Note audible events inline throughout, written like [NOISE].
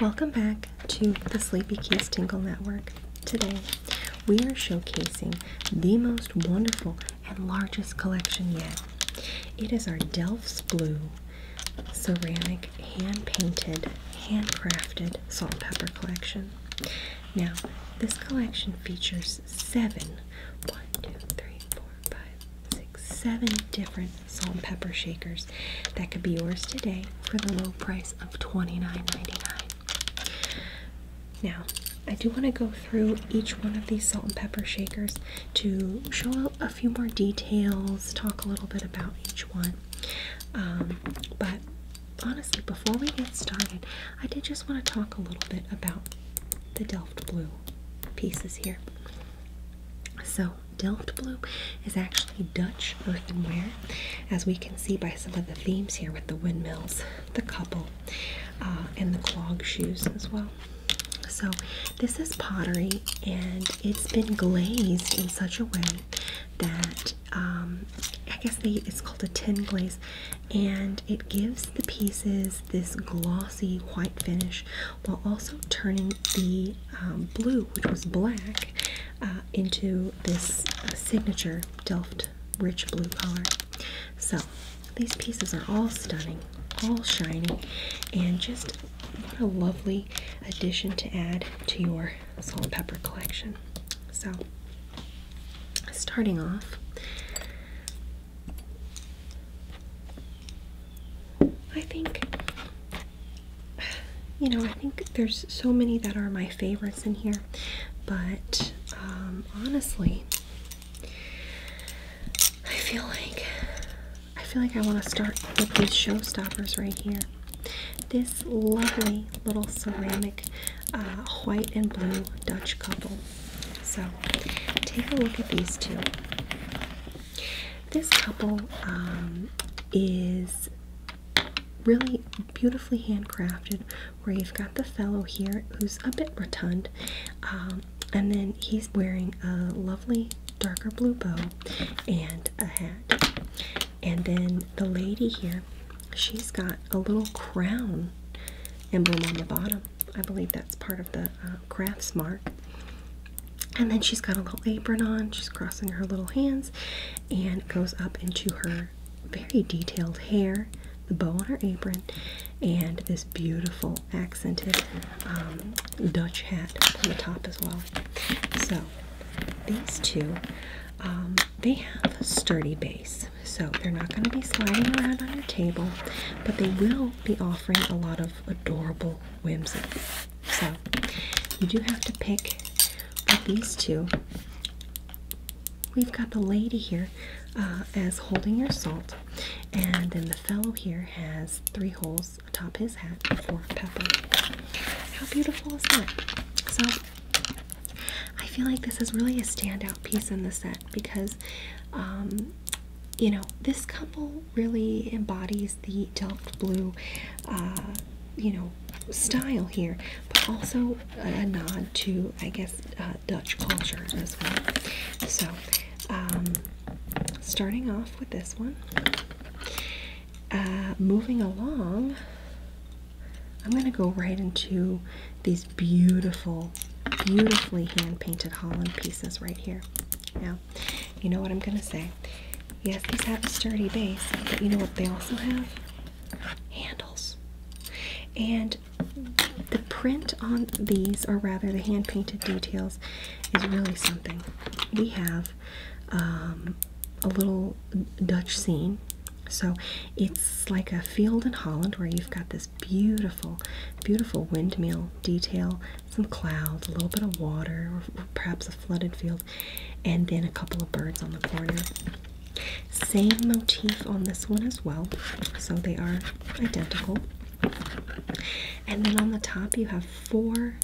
Welcome back to the Sleepy Keys Tingle Network. Today, we are showcasing the most wonderful and largest collection yet. It is our Delph's Blue ceramic, hand-painted, handcrafted salt pepper collection. Now, this collection features seven, one, two, three, four, four, five, six, seven different salt and pepper shakers that could be yours today for the low price of $29.99. Now, I do want to go through each one of these salt and pepper shakers to show a few more details, talk a little bit about each one. Um, but honestly, before we get started, I did just want to talk a little bit about the Delft Blue pieces here. So Delft Blue is actually Dutch earthenware, as we can see by some of the themes here with the windmills, the couple, uh, and the clog shoes as well. So this is pottery, and it's been glazed in such a way that um, I guess it's called a tin glaze, and it gives the pieces this glossy white finish while also turning the um, blue, which was black, uh, into this uh, signature Delft rich blue color. So these pieces are all stunning, all shiny, and just what a lovely addition to add to your salt and pepper collection. So starting off, I think, you know, I think there's so many that are my favorites in here, but um, honestly, I feel like I feel like I want to start with these showstoppers right here. This lovely little ceramic uh, white and blue Dutch couple. So take a look at these two. This couple um, is really beautifully handcrafted, where you've got the fellow here who's a bit rotund, um, and then he's wearing a lovely darker blue bow and a hat. And then the lady here, she's got a little crown emblem on the bottom. I believe that's part of the uh, crafts mark. And then she's got a little apron on. She's crossing her little hands and goes up into her very detailed hair, the bow on her apron, and this beautiful accented um, Dutch hat on the top as well. So these two, um, they have a sturdy base. So they're not going to be sliding around on your table, but they will be off a lot of adorable whimsy. So you do have to pick these two. We've got the lady here uh, as holding your salt, and then the fellow here has three holes atop his hat for pepper. How beautiful is that? So I feel like this is really a standout piece in the set because um, you know, this couple really embodies the Delft blue, uh, you know, style here, but also a nod to, I guess, uh, Dutch culture as well. So, um, starting off with this one, uh, moving along, I'm going to go right into these beautiful, beautifully hand painted Holland pieces right here. Now, you know what I'm going to say? Yes, these have a sturdy base, but you know what they also have? Handles. And the print on these, or rather the hand painted details, is really something. We have um, a little Dutch scene. So it's like a field in Holland where you've got this beautiful, beautiful windmill detail, some clouds, a little bit of water, or perhaps a flooded field, and then a couple of birds on the corner. Same motif on this one as well, so they are identical. And then on the top, you have four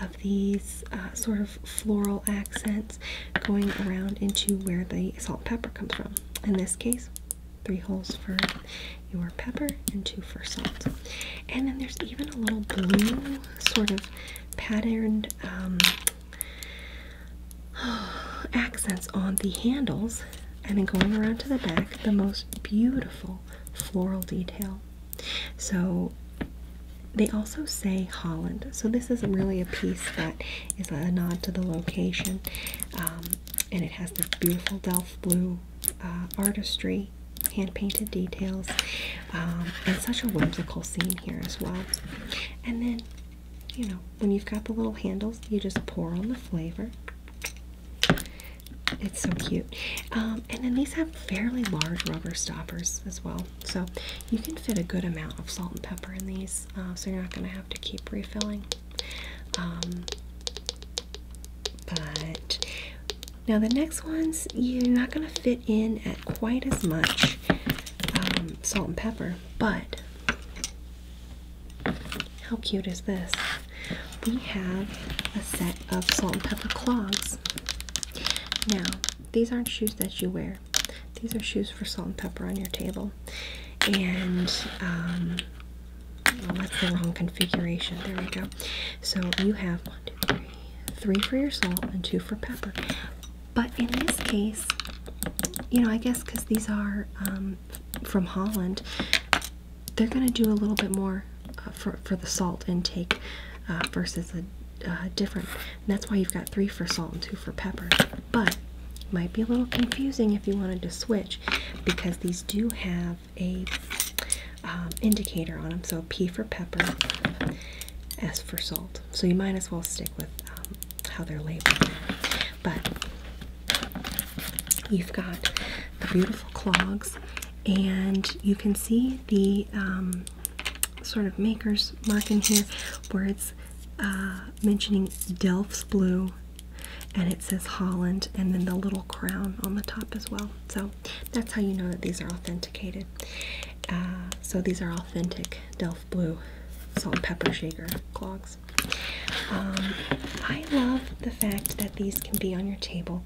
of these uh, sort of floral accents going around into where the salt pepper comes from. In this case, three holes for your pepper and two for salt. And then there's even a little blue sort of patterned um, [SIGHS] accents on the handles. And then going around to the back, the most beautiful floral detail. So they also say Holland. So this is really a piece that is a nod to the location. Um, and it has this beautiful Delft blue uh, artistry, hand painted details, um, and such a whimsical scene here as well. And then, you know, when you've got the little handles, you just pour on the flavor. It's so cute. Um, and then these have fairly large rubber stoppers as well. So you can fit a good amount of salt and pepper in these. Uh, so you're not going to have to keep refilling. Um, but now the next ones, you're not going to fit in at quite as much um, salt and pepper, but how cute is this? We have a set of salt and pepper clogs. Now, these aren't shoes that you wear. These are shoes for salt and pepper on your table. And um, that's the wrong configuration. There we go. So you have one, two, three, three for your salt and two for pepper. But in this case, you know, I guess because these are um, from Holland, they're going to do a little bit more uh, for, the salt intake uh, versus a different. that's why you've got three for salt and two for pepper. But might be a little confusing if you wanted to switch because these do have a um, indicator on them. So P for pepper, S for salt. So you might as well stick with um, how they're labeled. But you've got the beautiful clogs, and you can see the um, sort of maker's mark in here where it's uh, mentioning Delft's Blue and it says Holland and then the little crown on the top as well. So that's how you know that these are authenticated. Uh, so these are authentic Delft Blue salt and pepper shaker clogs. Um, I love the fact that these can be on your table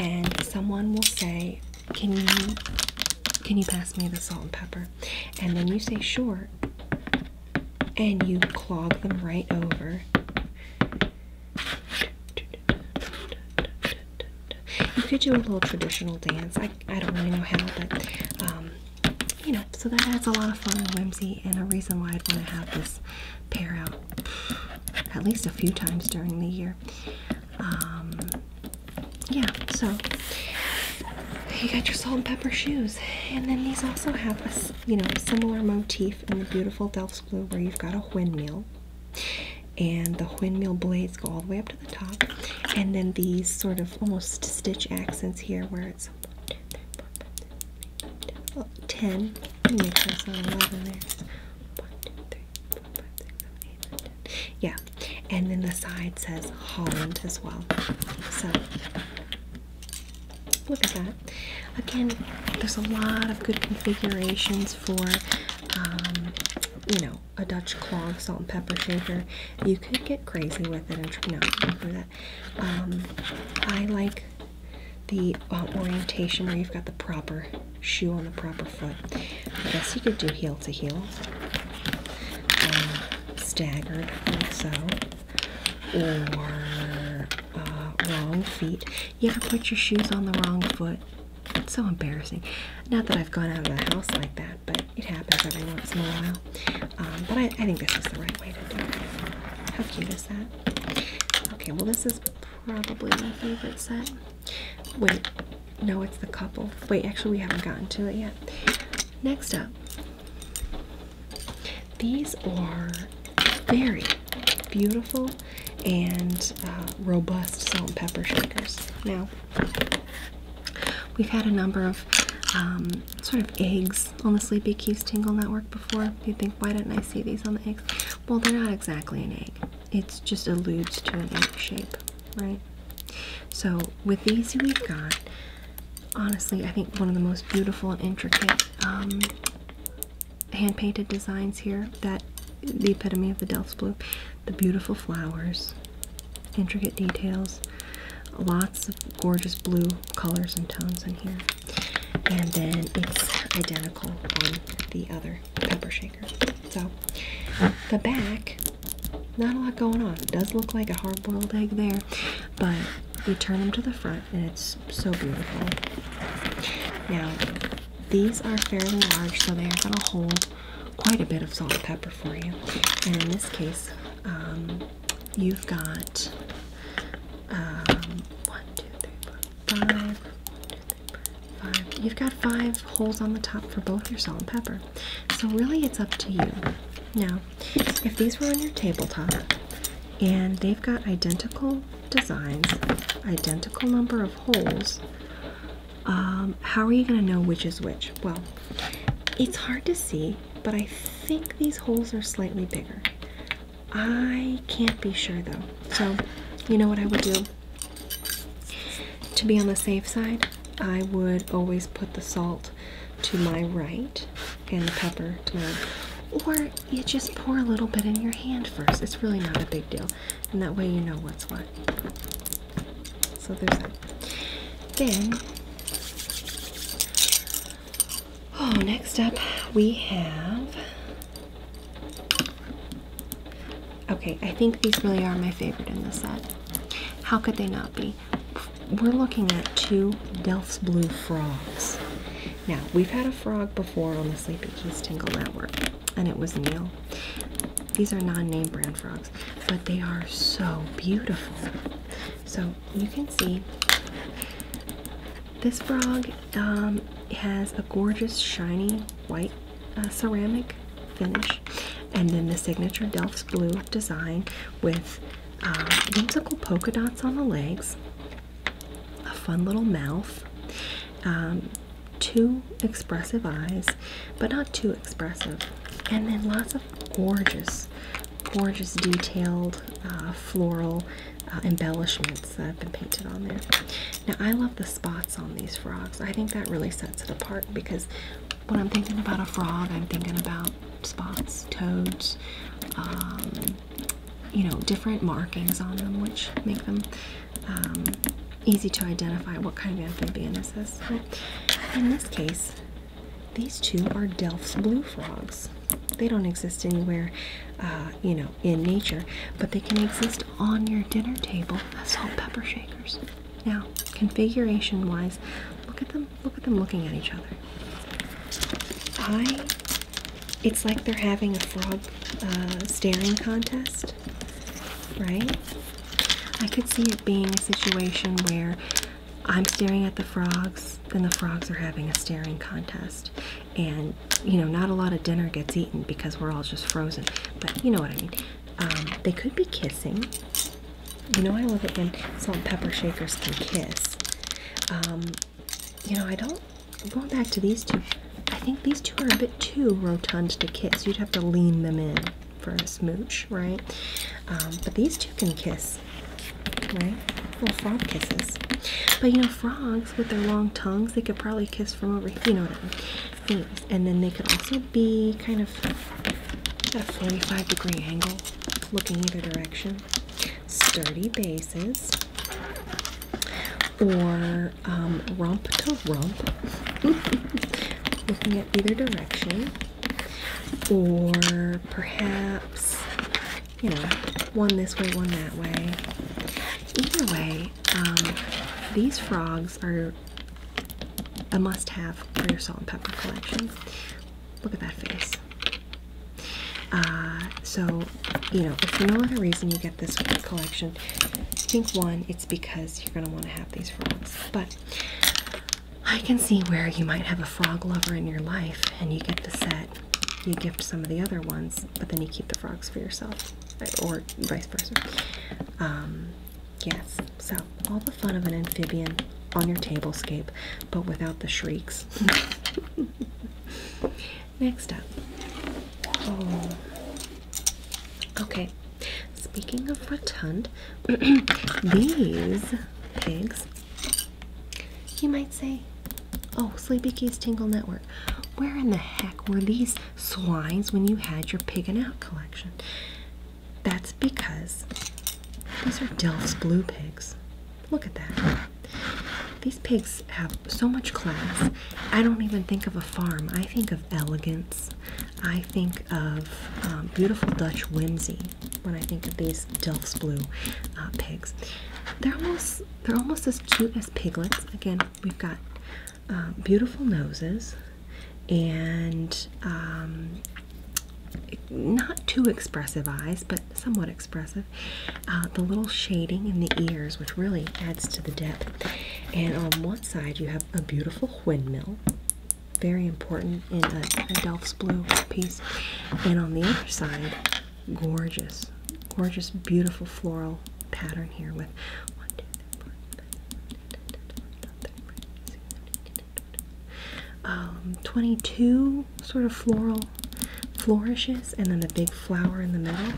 and someone will say, can you, can you pass me the salt and pepper? And then you say, sure and you clog them right over. You could do a little traditional dance. I, I don't really know how, but um, you know, so that adds a lot of fun and whimsy, and a reason why I'd want to have this pair out at least a few times during the year. Um, yeah, so you got your salt and pepper shoes. And then these also have a you know similar motif in the beautiful Delft's blue, where you've got a windmill, and the windmill blades go all the way up to the top, and then these sort of almost stitch accents here, where it's 10. Yeah, and then the side says Holland as well. So Look at that. Again, there's a lot of good configurations for, um, you know, a Dutch clog salt and pepper shaker. You could get crazy with it and try not for that. Um, I like the um, orientation where you've got the proper shoe on the proper foot. I guess you could do heel to heel, um, staggered like so or uh, wrong feet. You ever put your shoes on the wrong foot? It's so embarrassing. Not that I've gone out of the house like that, but it happens every once in a while. Um, but I think this is the right way to do it. How cute is that? Okay, well this is probably my favorite set. Wait, no, it's the couple. Wait, actually we haven't gotten to it yet. Next up, these are very beautiful and uh, robust salt and pepper shakers. Now, we've had a number of um, sort of eggs on the Sleepy Keys Tingle Network before. You think, why didn't I see these on the eggs? Well, they're not exactly an egg. It just alludes to an egg shape, right? So with these, we've got honestly, I think one of the most beautiful and intricate um, hand painted designs here. That the epitome of the Delft's Blue. The beautiful flowers, intricate details, lots of gorgeous blue colors and tones in here. And then it's identical on the other pepper shaker. So the back, not a lot going on. It does look like a hard boiled egg there, but you turn them to the front and it's so beautiful. Now, these are fairly large, so they are going to hold quite a bit of salt and pepper for you. And in this case, um, you've got um, four, five, one, two, three, four, five. You've got five holes on the top for both your salt and pepper. So really, it's up to you. Now, if these were on your tabletop and they've got identical designs, identical number of holes, um, how are you going to know which is which? Well, it's hard to see, but I think these holes are slightly bigger. I can't be sure though. So, you know what I would do? To be on the safe side, I would always put the salt to my right and the pepper to my Or you just pour a little bit in your hand first. It's really not a big deal. And that way you know what's what. So there's that. Then, oh, next up we have. Okay, I think these really are my favorite in the set. How could they not be? we're looking at two Delft's Blue frogs. Now, we've had a frog before on the Sleepy Keys Tingle Network, and it was Neil. These are non-name brand frogs, but they are so beautiful. So you can see this frog um, has a gorgeous shiny white uh, ceramic finish, and then the signature Delft's Blue design with whimsical um, polka dots on the legs, a fun little mouth, um, two expressive eyes, but not too expressive, and then lots of gorgeous, gorgeous detailed uh, floral uh, embellishments that have been painted on there. Now, I love the spots on these frogs. I think that really sets it apart because when I'm thinking about a frog, I'm thinking about spots, toads, um, you know, different markings on them, which make them um, easy to identify what kind of amphibian is this. in this case, these two are Delph's blue frogs. They don't exist anywhere, uh, you know, in nature, but they can exist on your dinner table salt pepper shakers. Now, configuration-wise, look at them look at them looking at each other i it's like they're having a frog uh, staring contest right i could see it being a situation where i'm staring at the frogs then the frogs are having a staring contest and you know not a lot of dinner gets eaten because we're all just frozen but you know what i mean um, they could be kissing you know I love it when salt and pepper shakers can kiss. Um, you know I don't. Going back to these two, I think these two are a bit too rotund to kiss. You'd have to lean them in for a smooch, right? Um, but these two can kiss, right? Little frog kisses. But you know, frogs with their long tongues, they could probably kiss from over. You know what I mean? And then they could also be kind of at 45 degree angle, looking either direction. Sturdy bases or um, rump to rump, [LAUGHS] looking at either direction, or perhaps you know one this way, one that way. Either way, um, these frogs are a must-have for your salt and pepper collection. Look at that face. Uh, so, you know, for no other reason you get this collection, I think one, it's because you're going to want to have these frogs. But I can see where you might have a frog lover in your life and you get the set, you gift some of the other ones, but then you keep the frogs for yourself, or vice versa. Um, yes, so all the fun of an amphibian on your table scape, but without the shrieks. [LAUGHS] Next up. Oh. Okay. Speaking of rotund, [CLEARS THROAT] these pigs, you might say, oh, Sleepy Keys Tingle Network, where in the heck were these swines when you had your pig out collection? That's because these are Delft's Blue pigs. Look at that. These pigs have so much class. I don't even think of a farm. I think of elegance. I think of um, beautiful Dutch whimsy when I think of these Delft's Blue uh, pigs. They're almost they're almost as cute as piglets. Again, we've got um, beautiful noses and um, not too expressive eyes, but somewhat expressive. the little shading in the ears, which really adds to the depth. And on one side, you have a beautiful windmill, very important in a, Delft's Blue piece. And on the other side, gorgeous, gorgeous, beautiful floral pattern here with um, 22 sort of floral flourishes, and then the big flower in the middle.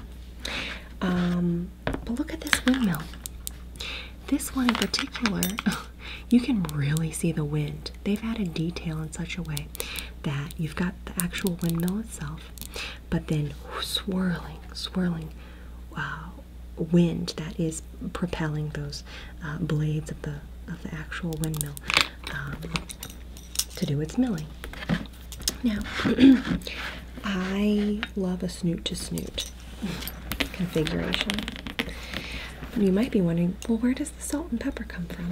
Um, but look at this windmill. This one in particular, [LAUGHS] you can really see the wind. They've added detail in such a way that you've got the actual windmill itself, but then swirling, swirling uh, wind that is propelling those uh, blades of the of the actual windmill um, to do its milling. Now, [CLEARS THROAT] I love a snoot to snoot configuration. You might be wondering, well, where does the salt and pepper come from?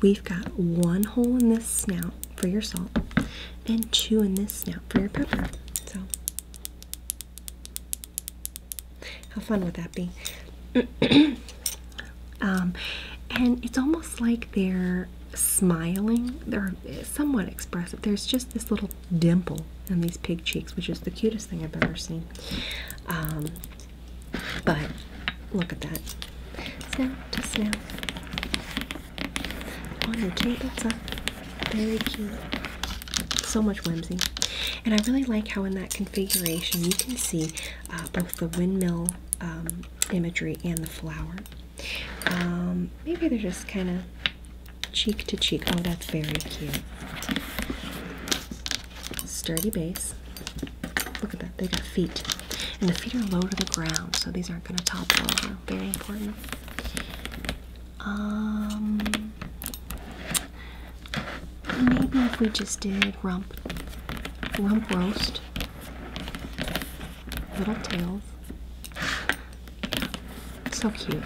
We've got one hole in this snout for your salt and two in this snout for your pepper. So how fun would that be? [CLEARS THROAT] Um, and it's almost like they're smiling. They're eh, somewhat expressive. There's just this little dimple on these pig cheeks, which is the cutest thing I've ever seen. Um, but look at that. Snap to snap. On very cute. So much whimsy. And I really like how in that configuration you can see uh, both the windmill um, imagery and the flower. Um, maybe they're just kind of cheek to cheek. Oh, that's very cute. Sturdy base. Look at that. They got feet. And the feet are low to the ground, so these aren't going to topple over. Very important. Um, maybe if we just did rump, rump roast, little tails. So cute.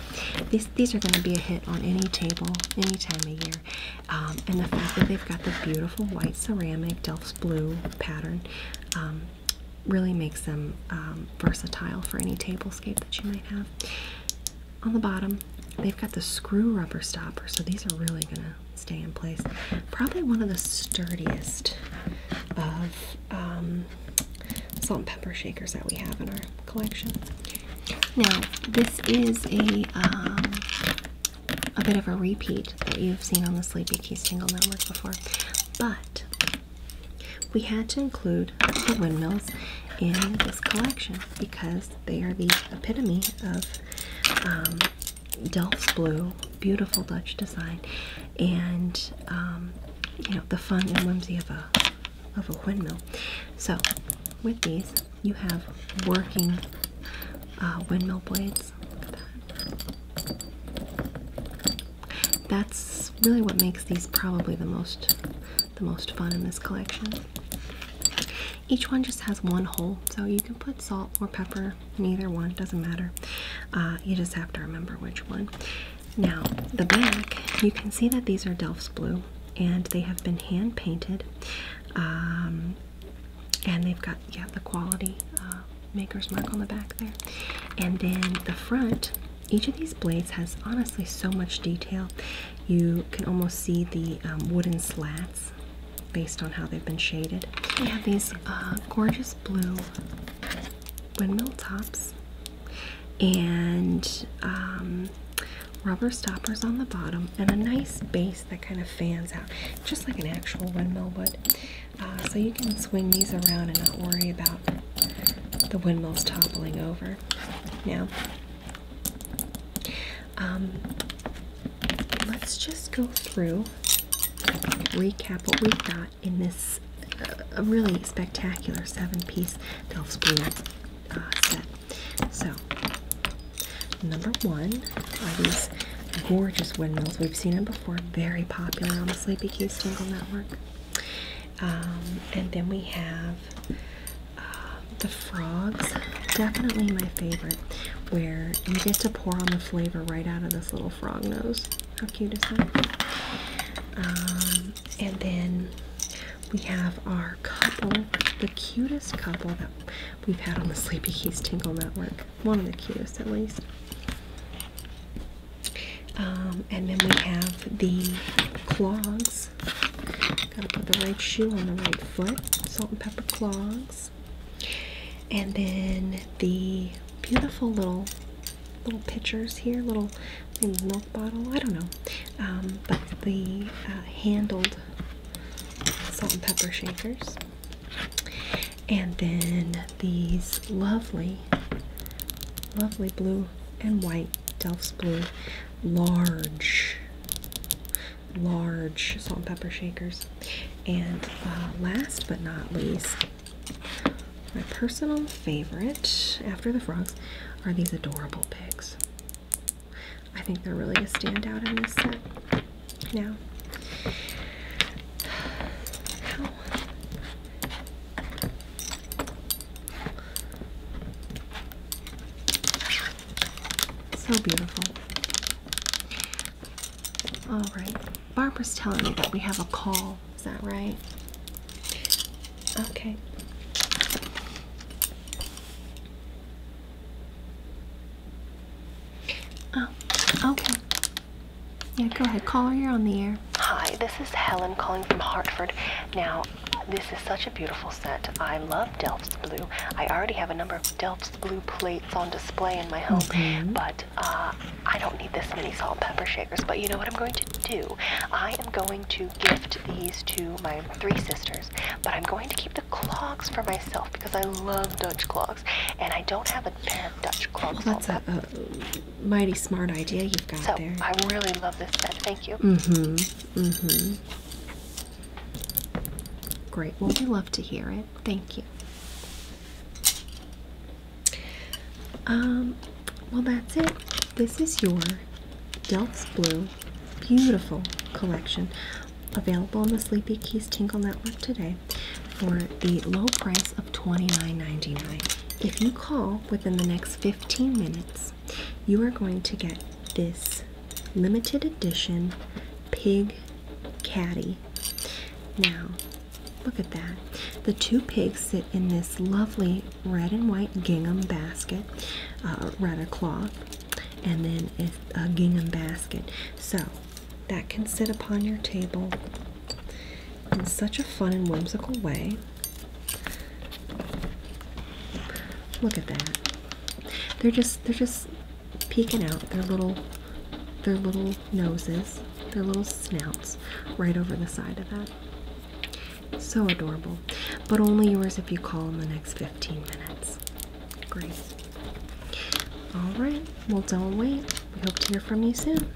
These these are going to be a hit on any table, any time of year. Um, and the fact that they've got the beautiful white ceramic Delft blue pattern. Um, really makes them um, versatile for any table scape that you might have on the bottom. They've got the screw rubber stopper, so these are really gonna stay in place. Probably one of the sturdiest of um, salt and pepper shakers that we have in our collection. Now, this is a um, a bit of a repeat that you've seen on the Sleepy key single Network before, but we had to include the windmills in this collection because they are the epitome of um, blue, beautiful Dutch design, and um, you know the fun and whimsy of a of a windmill. So with these, you have working uh, windmill blades. That's really what makes these probably the most the most fun in this collection. Each one just has one hole, so you can put salt or pepper Neither one, doesn't matter. Uh, you just have to remember which one. Now, the back, you can see that these are Delft Blue and they have been hand painted. Um, and they've got, yeah, the quality uh, maker's mark on the back there. And then the front each of these blades has honestly so much detail. You can almost see the um, wooden slats based on how they've been shaded. We have these uh, gorgeous blue windmill tops and um, rubber stoppers on the bottom and a nice base that kind of fans out just like an actual windmill would. Uh, so you can swing these around and not worry about the windmills toppling over now. Um, let's just go through, recap what we've got in this uh, really spectacular seven-piece Delft's Blue uh, set. So, number one are these gorgeous windmills. We've seen them before, very popular on the Sleepy Cue Swingle Network. Um, and then we have uh, the frogs, definitely my favorite, where you get to pour on the flavor right out of this little frog nose. How cute is that? Um, and then we have our couple, the cutest couple that we've had on the Sleepy Keys Tingle Network. One of the cutest, at least. Um, and then we have the clogs Gotta put the right shoe on the right foot. Salt and pepper clogs. And then the beautiful little little pitchers here, little milk bottle. I don't know. Um, but the uh, handled salt and pepper shakers. And then these lovely, lovely blue and white delft's blue large large salt and pepper shakers and uh, last but not least my personal favorite after the frogs are these adorable pigs i think they're really a standout in this set now so beautiful. All right. Barbara's telling me that we have a call. Is that right? Okay. Oh, okay. Yeah, go ahead. Call her. You're on the air hi, this is Helen calling from Hartford. Now, this is such a beautiful set. I love Delft's Blue. I already have a number of Delft's Blue plates on display in my home, mm-hmm. but uh, I don't need this many salt and pepper shakers. But you know what I'm going to do? I am going to gift these to my three sisters, but I'm going to keep the clogs for myself because I love Dutch clogs, and I don't have a pair of Dutch clogs. Oh, that's a uh, mighty smart idea you've got so, there. I really love this set. Thank you. Mm-hmm. Mm-hmm. Great. Well, we love to hear it. Thank you. Um, well, that's it. This is your Delft's Blue beautiful collection available on the Sleepy Keys Tingle Network today for the low price of $29.99. If you call within the next 15 minutes, you are going to get this limited edition pig caddy. Now, look at that. The two pigs sit in this lovely red and white gingham basket, uh, rather cloth, and then a gingham basket. So that can sit upon your table in such a fun and whimsical way. Look at that. They're just they're just peeking out their little their little noses, their little snouts right over the side of that. So adorable. But only yours if you call in the next 15 minutes. Great. Alright, well don't wait. We hope to hear from you soon.